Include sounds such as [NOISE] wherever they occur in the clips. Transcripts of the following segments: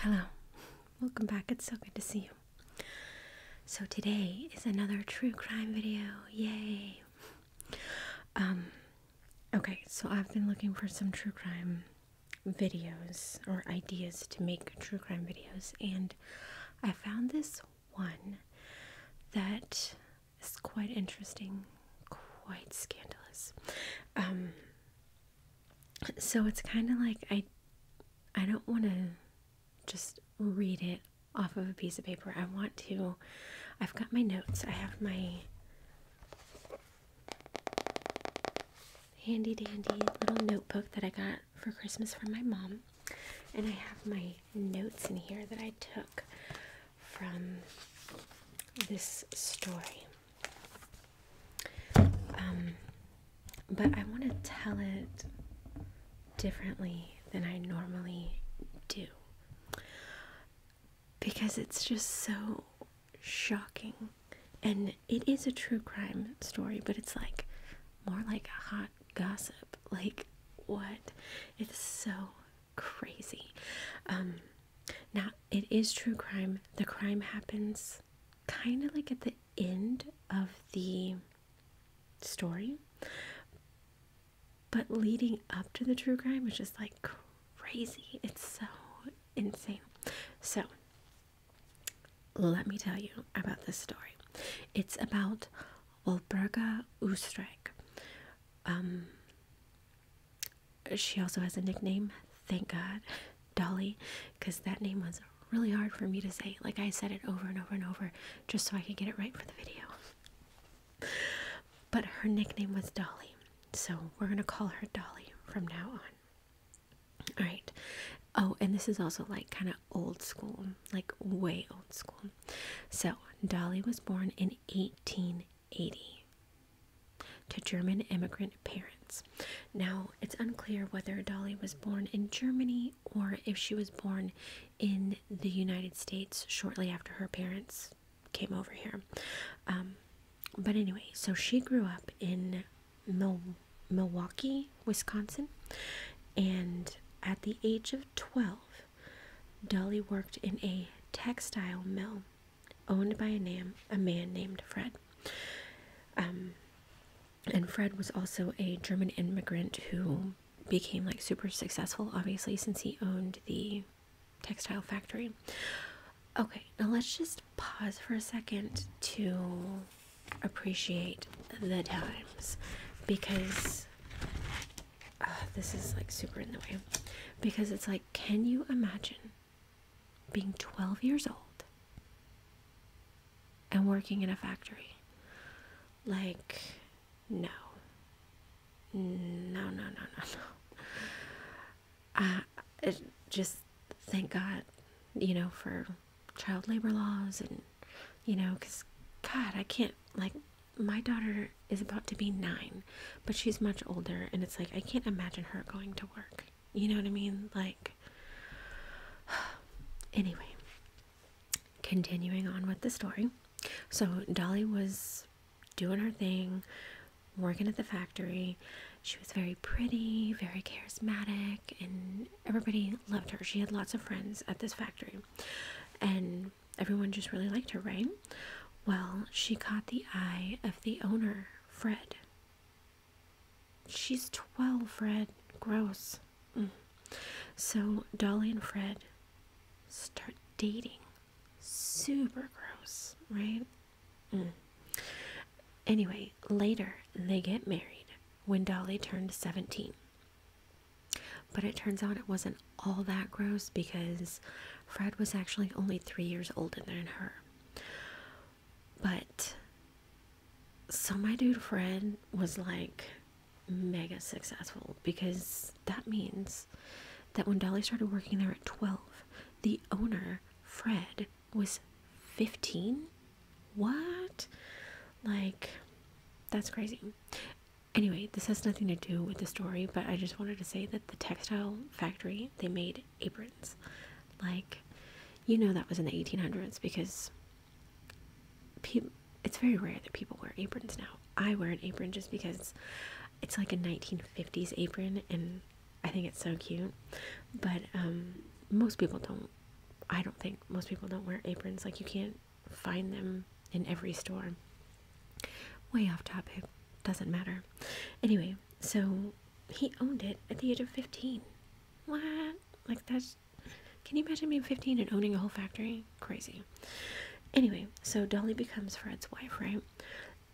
Hello, welcome back. It's so good to see you. So, today is another true crime video. Yay! Um, okay, so I've been looking for some true crime videos or ideas to make true crime videos, and I found this one that it's quite interesting, quite scandalous. Um, so it's kind of like I, I don't want to just read it off of a piece of paper. I want to. I've got my notes. I have my handy dandy little notebook that I got for Christmas from my mom, and I have my notes in here that I took from this story. Um, but I want to tell it differently than I normally do because it's just so shocking. And it is a true crime story, but it's like more like a hot gossip. Like, what? It's so crazy. Um, now, it is true crime. The crime happens kind of like at the end of the story, but leading up to the true crime is just like crazy. It's so insane. So, let me tell you about this story. It's about Volberga Ustrak. Um, she also has a nickname, thank God, [LAUGHS] Dolly, because that name was really hard for me to say. Like I said it over and over and over just so I could get it right for the video. But her nickname was Dolly, so we're gonna call her Dolly from now on. All right. Oh, and this is also like kind of old school, like way old school. So, Dolly was born in 1880 to German immigrant parents. Now, it's unclear whether Dolly was born in Germany or if she was born in the United States shortly after her parents came over here. Um, but anyway, so she grew up in Milwaukee, Wisconsin, and at the age of 12, Dolly worked in a textile mill owned by a, nam a man named Fred. Um, and Fred was also a German immigrant who became like super successful, obviously, since he owned the textile factory. Okay, now let's just pause for a second to appreciate the times because uh, this is like super in the way because it's like, can you imagine being 12 years old and working in a factory? Like, no. No, no, no, no, no. Uh, it, just thank God, you know, for child labor laws and, you know, because, God, I can't, like, my daughter is about to be nine, but she's much older, and it's like I can't imagine her going to work. You know what I mean? Like, [SIGHS] anyway, continuing on with the story. So, Dolly was doing her thing, working at the factory. She was very pretty, very charismatic, and everybody loved her. She had lots of friends at this factory. And everyone just really liked her, right? Well, she caught the eye of the owner, Fred. She's 12, Fred. Gross. Mm. So Dolly and Fred start dating. Super gross, right? Mm. Anyway, later they get married when Dolly turned 17. But it turns out it wasn't all that gross because Fred was actually only three years older than her. But so my dude Fred was like mega successful because that means that when Dolly started working there at 12, the owner, Fred, was 15? What? Like, that's crazy. Anyway, this has nothing to do with the story, but I just wanted to say that the textile factory they made aprons. Like, you know, that was in the 1800s because pe it's very rare that people wear aprons now. I wear an apron just because it's like a 1950s apron and I think it's so cute. But um, most people don't, I don't think most people don't wear aprons. Like, you can't find them in every store. Way off topic, doesn't matter. Anyway, so he owned it at the age of 15. What? Like, that's. Can you imagine being 15 and owning a whole factory? Crazy. Anyway, so Dolly becomes Fred's wife, right?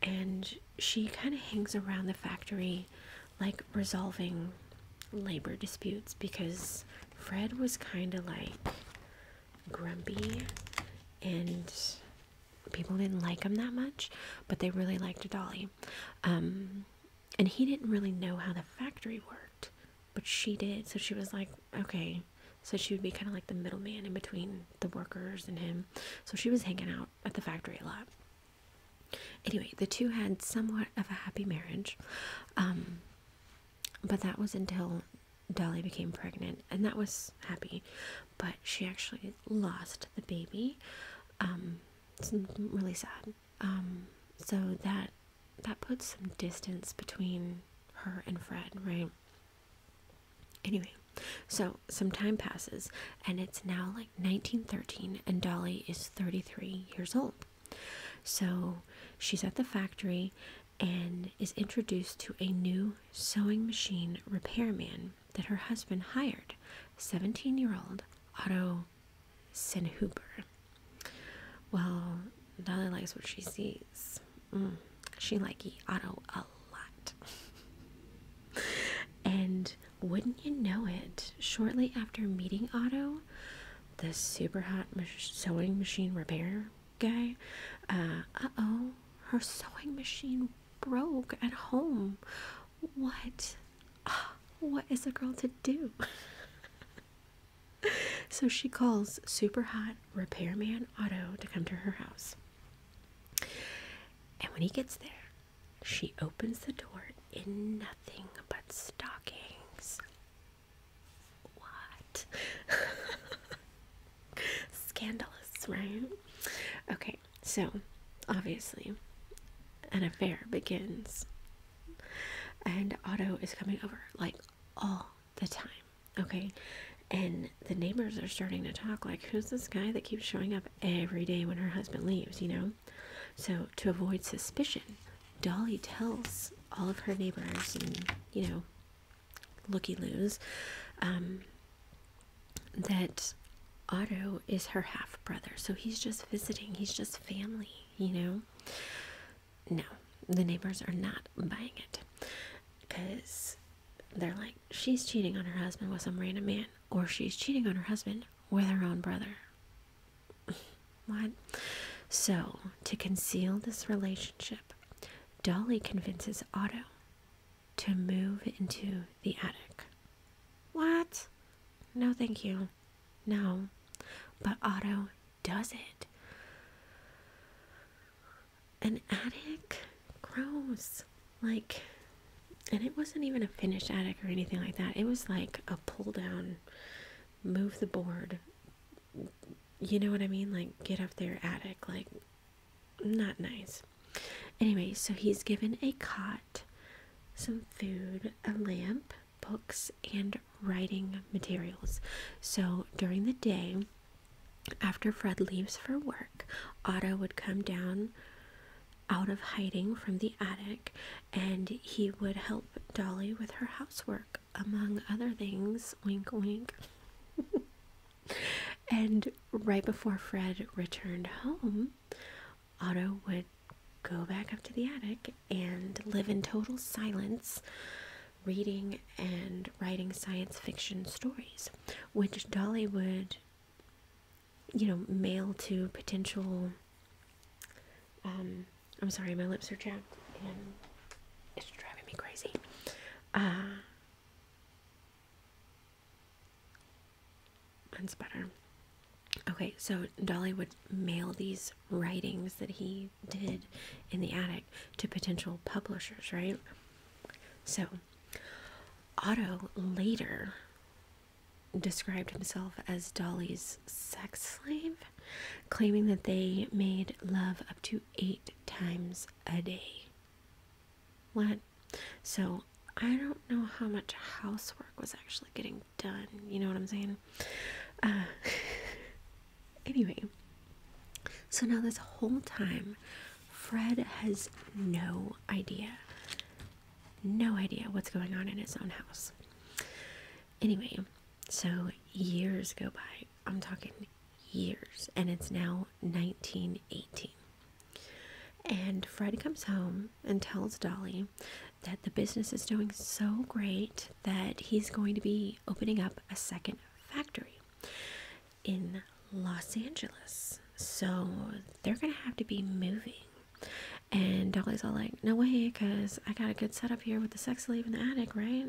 And she kind of hangs around the factory, like, resolving labor disputes because Fred was kind of like grumpy and people didn't like him that much, but they really liked Dolly. Um, and he didn't really know how the factory worked, but she did. So she was like, okay. So she would be kind of like the middleman in between the workers and him. So she was hanging out at the factory a lot. Anyway, the two had somewhat of a happy marriage. Um, but that was until Dolly became pregnant, and that was happy, but she actually lost the baby. Um, it's really sad. Um, so that that puts some distance between her and Fred, right? Anyway, so some time passes, and it's now like 1913, and Dolly is 33 years old. So she's at the factory, and is introduced to a new sewing machine repairman that her husband hired, 17 year old Otto Senhuber. Well, Dolly likes what she sees. Mm, she like Otto a lot. [LAUGHS] and wouldn't you know it, shortly after meeting Otto, this super hot sewing machine repair guy. Uh, uh oh, her sewing machine broke at home. What? Ah, what is a girl to do? [LAUGHS] so she calls super hot repairman Otto to come to her house. And when he gets there, she opens the door in nothing but stockings. What? [LAUGHS] Scandalous, right? Okay, so obviously, an affair begins, and Otto is coming over like all the time, okay? And the neighbors are starting to talk like, who's this guy that keeps showing up every day when her husband leaves, you know? So, to avoid suspicion, Dolly tells all of her neighbors and, you know, looky loos um, that Otto is her half brother. So he's just visiting, he's just family, you know? No, the neighbors are not buying it because they're like, she's cheating on her husband with some random man, or she's cheating on her husband with her own brother. What? So, to conceal this relationship, Dolly convinces Otto to move into the attic. What? No, thank you. No. But Otto does it. An attic? Gross. Like, and it wasn't even a finished attic or anything like that. It was like a pull down, move the board, you know what I mean? Like, get up there, attic, like, not nice. Anyway, so he's given a cot, some food, a lamp, books, and writing materials. So during the day, after Fred leaves for work, Otto would come down out of hiding from the attic and he would help Dolly with her housework among other things, wink wink. [LAUGHS] and right before Fred returned home, Otto would go back up to the attic and live in total silence, reading and writing science fiction stories, which Dolly would, you know, mail to potential um, I'm sorry, my lips are chapped and it's driving me crazy. that's uh, better. Okay, so Dolly would mail these writings that he did in the attic to potential publishers, right? So, Otto later described himself as Dolly's sex slave claiming that they made love up to eight times a day. What? So I don't know how much housework was actually getting done. You know what I'm saying? Uh, [LAUGHS] anyway, so now this whole time, Fred has no idea. No idea what's going on in his own house. Anyway, so years go by. I'm talking years. And it's now 1918. And Fred comes home and tells Dolly that the business is doing so great that he's going to be opening up a second factory in Los Angeles. So they're going to have to be moving. And Dolly's all like, no way, because I got a good setup here with the sex leave in the attic, right?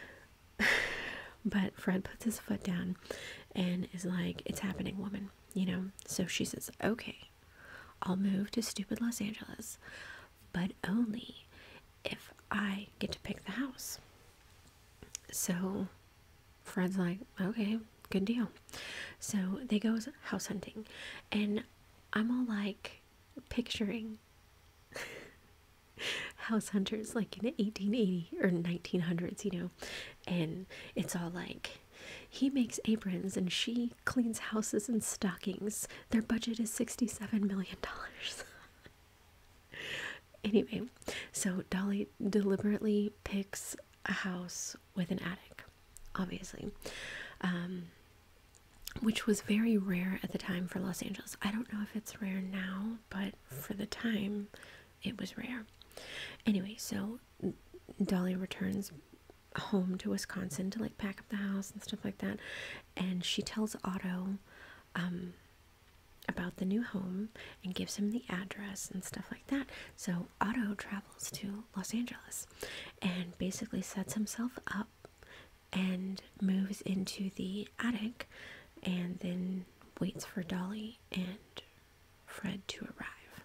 [LAUGHS] but Fred puts his foot down and is like, it's happening, woman, you know? So she says, okay, I'll move to stupid Los Angeles, but only if I get to pick the house. So Fred's like, okay, good deal. So they goes house hunting, and I'm all like, picturing house hunters like in 1880 or 1900s, you know, and it's all like he makes aprons and she cleans houses and stockings. Their budget is 67 million dollars. [LAUGHS] anyway, so Dolly deliberately picks a house with an attic, obviously. Um, which was very rare at the time for Los Angeles. I don't know if it's rare now, but for the time, it was rare. Anyway, so Dolly returns home to Wisconsin to like pack up the house and stuff like that, and she tells Otto um, about the new home and gives him the address and stuff like that. So Otto travels to Los Angeles and basically sets himself up and moves into the attic and then waits for Dolly and Fred to arrive.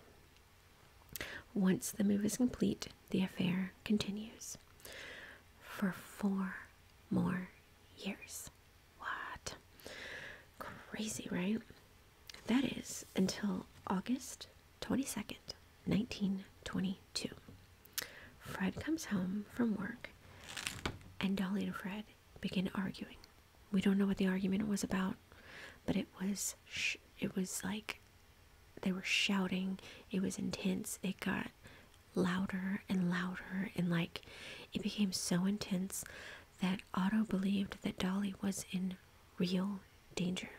Once the move is complete, the affair continues for four more years. What? Crazy, right? That is until August 22nd, 1922. Fred comes home from work, and Dolly and Fred begin arguing. We don't know what the argument was about, but it was it was like they were shouting. It was intense. It got louder and louder, and like it became so intense that Otto believed that Dolly was in real danger.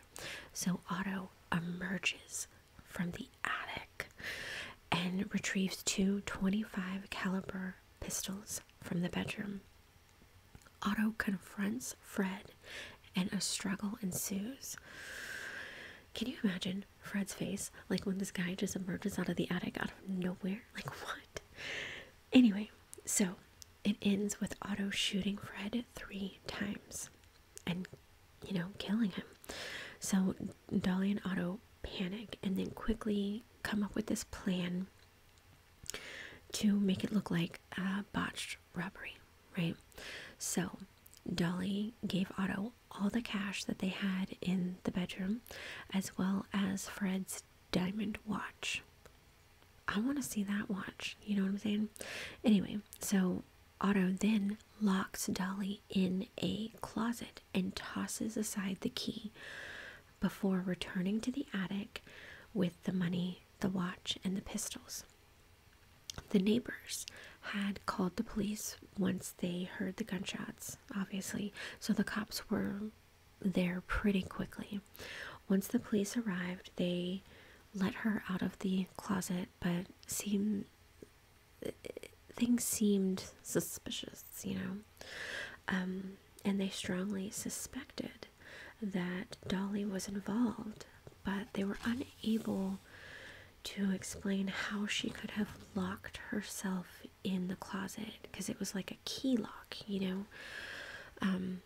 So Otto emerges from the attic and retrieves two 25 caliber pistols from the bedroom. Otto confronts Fred and a struggle ensues. Can you imagine Fred's face like when this guy just emerges out of the attic out of nowhere? Like what? Anyway, so it ends with Otto shooting Fred three times and you know killing him so dolly and otto panic and then quickly come up with this plan to make it look like a botched robbery right so dolly gave otto all the cash that they had in the bedroom as well as fred's diamond watch I want to see that watch. You know what I'm saying? Anyway, so Otto then locks Dolly in a closet and tosses aside the key before returning to the attic with the money, the watch, and the pistols. The neighbors had called the police once they heard the gunshots, obviously, so the cops were there pretty quickly. Once the police arrived, they let her out of the closet, but seem things seemed suspicious, you know. Um, and they strongly suspected that Dolly was involved, but they were unable to explain how she could have locked herself in the closet because it was like a key lock, you know. Um,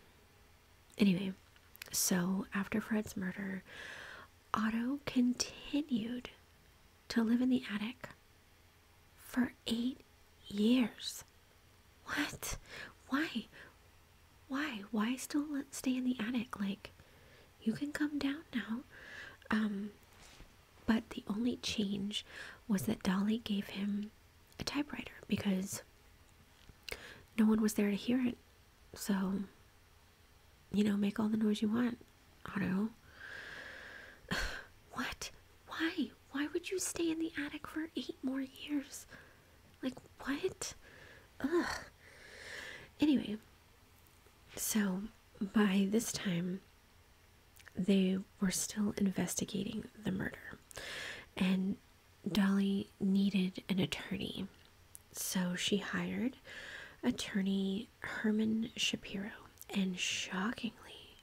Anyway, so after Fred's murder, Otto continued to live in the attic for eight years. What? Why? Why? Why still let stay in the attic? Like, you can come down now. Um, but the only change was that Dolly gave him a typewriter because no one was there to hear it. So, you know, make all the noise you want, Otto. [SIGHS] what? Why? Why would you stay in the attic for eight more years? Like, what? Ugh. Anyway, so by this time, they were still investigating the murder. And Dolly needed an attorney, so she hired attorney Herman Shapiro, and shockingly,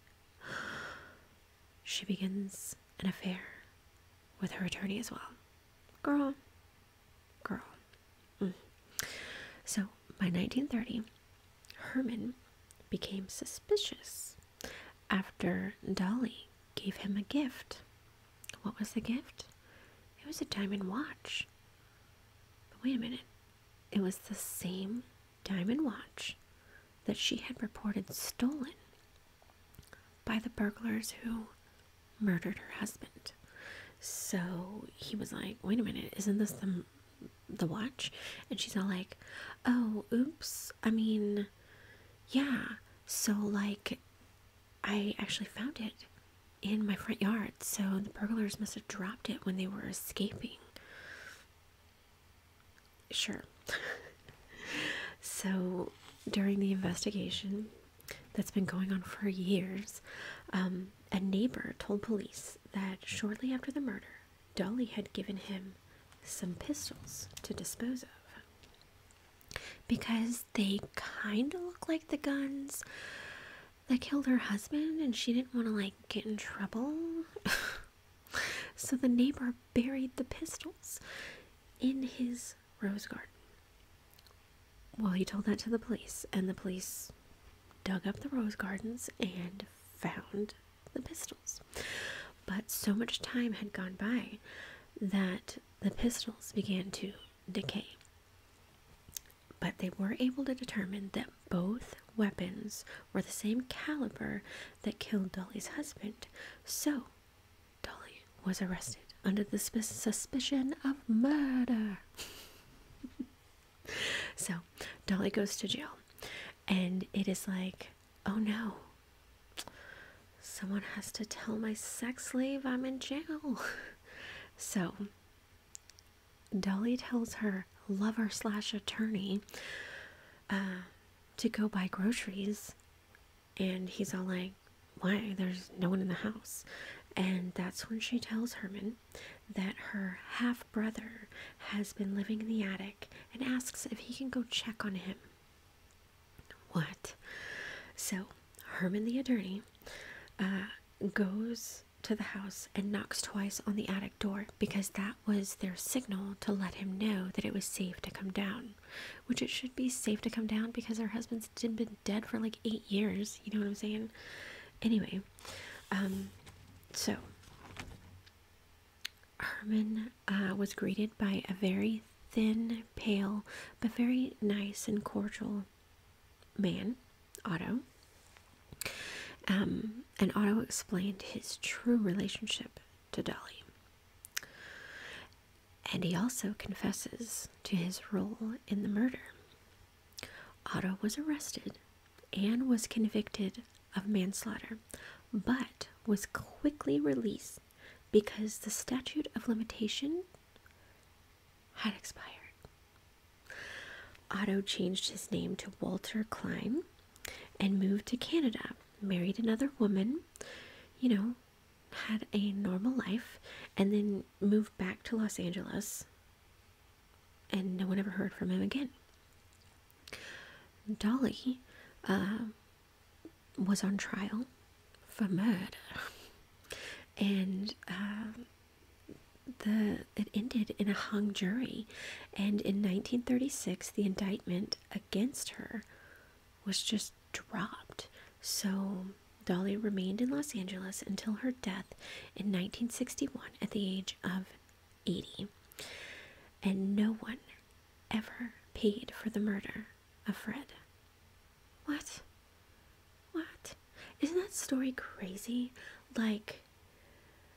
she begins an affair with her attorney as well. Girl, girl. Mm. So by 1930, Herman became suspicious after Dolly gave him a gift what was the gift? It was a diamond watch. But wait a minute. It was the same diamond watch that she had reported stolen by the burglars who murdered her husband. So he was like, wait a minute, isn't this the, the watch? And she's all like, oh, oops. I mean, yeah. So, like, I actually found it in my front yard. So the burglars must have dropped it when they were escaping. Sure. [LAUGHS] so during the investigation that's been going on for years, um, a neighbor told police that shortly after the murder, Dolly had given him some pistols to dispose of because they kind of look like the guns that killed her husband and she didn't want to like get in trouble. [LAUGHS] so the neighbor buried the pistols in his rose garden. Well, he told that to the police and the police dug up the rose gardens and found the pistols. But so much time had gone by that the pistols began to decay. But they were able to determine that both weapons were the same caliber that killed Dolly's husband. So, Dolly was arrested under the suspicion of murder. [LAUGHS] so, Dolly goes to jail. And it is like, oh no, someone has to tell my sex slave I'm in jail. [LAUGHS] So, Dolly tells her lover slash attorney uh, to go buy groceries, and he's all like, Why? There's no one in the house. And that's when she tells Herman that her half brother has been living in the attic and asks if he can go check on him. What? So Herman the attorney uh, goes to the house and knocks twice on the attic door because that was their signal to let him know that it was safe to come down, which it should be safe to come down because her husband's been dead for like eight years. You know what I'm saying? Anyway, um, so Herman uh, was greeted by a very thin, pale, but very nice and cordial man, Otto. Um, and Otto explained his true relationship to Dolly. And he also confesses to his role in the murder. Otto was arrested and was convicted of manslaughter, but was quickly released because the statute of limitation had expired. Otto changed his name to Walter Klein and moved to Canada, married another woman, you know, had a normal life, and then moved back to Los Angeles. And no one ever heard from him again. Dolly uh, was on trial for murder, and um, the it ended in a hung jury. And in 1936, the indictment against her was just dropped. So Dolly remained in Los Angeles until her death in 1961 at the age of 80. And no one ever paid for the murder of Fred. What? What? Isn't that story crazy? Like,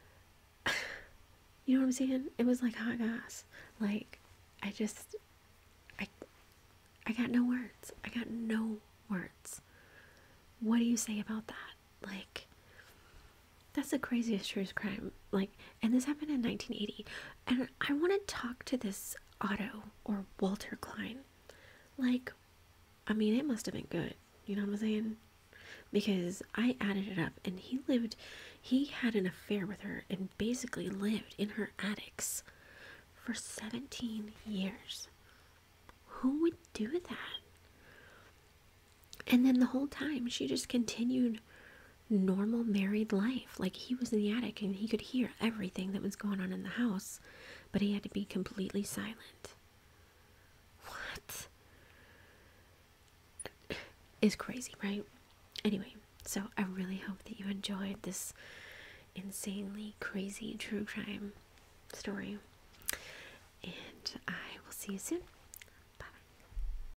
[SIGHS] you know what I'm saying? It was like hot gas. Like, I just, I, I got no words. I got no words. What do you say about that? Like, that's the craziest true crime like and this happened in 1980 and i want to talk to this otto or walter klein like i mean it must have been good you know what i'm saying because i added it up and he lived he had an affair with her and basically lived in her attics for 17 years who would do that and then the whole time she just continued normal married life. Like he was in the attic and he could hear everything that was going on in the house, but he had to be completely silent. What? Is crazy, right? Anyway, so I really hope that you enjoyed this insanely crazy true crime story. And I will see you soon. Bye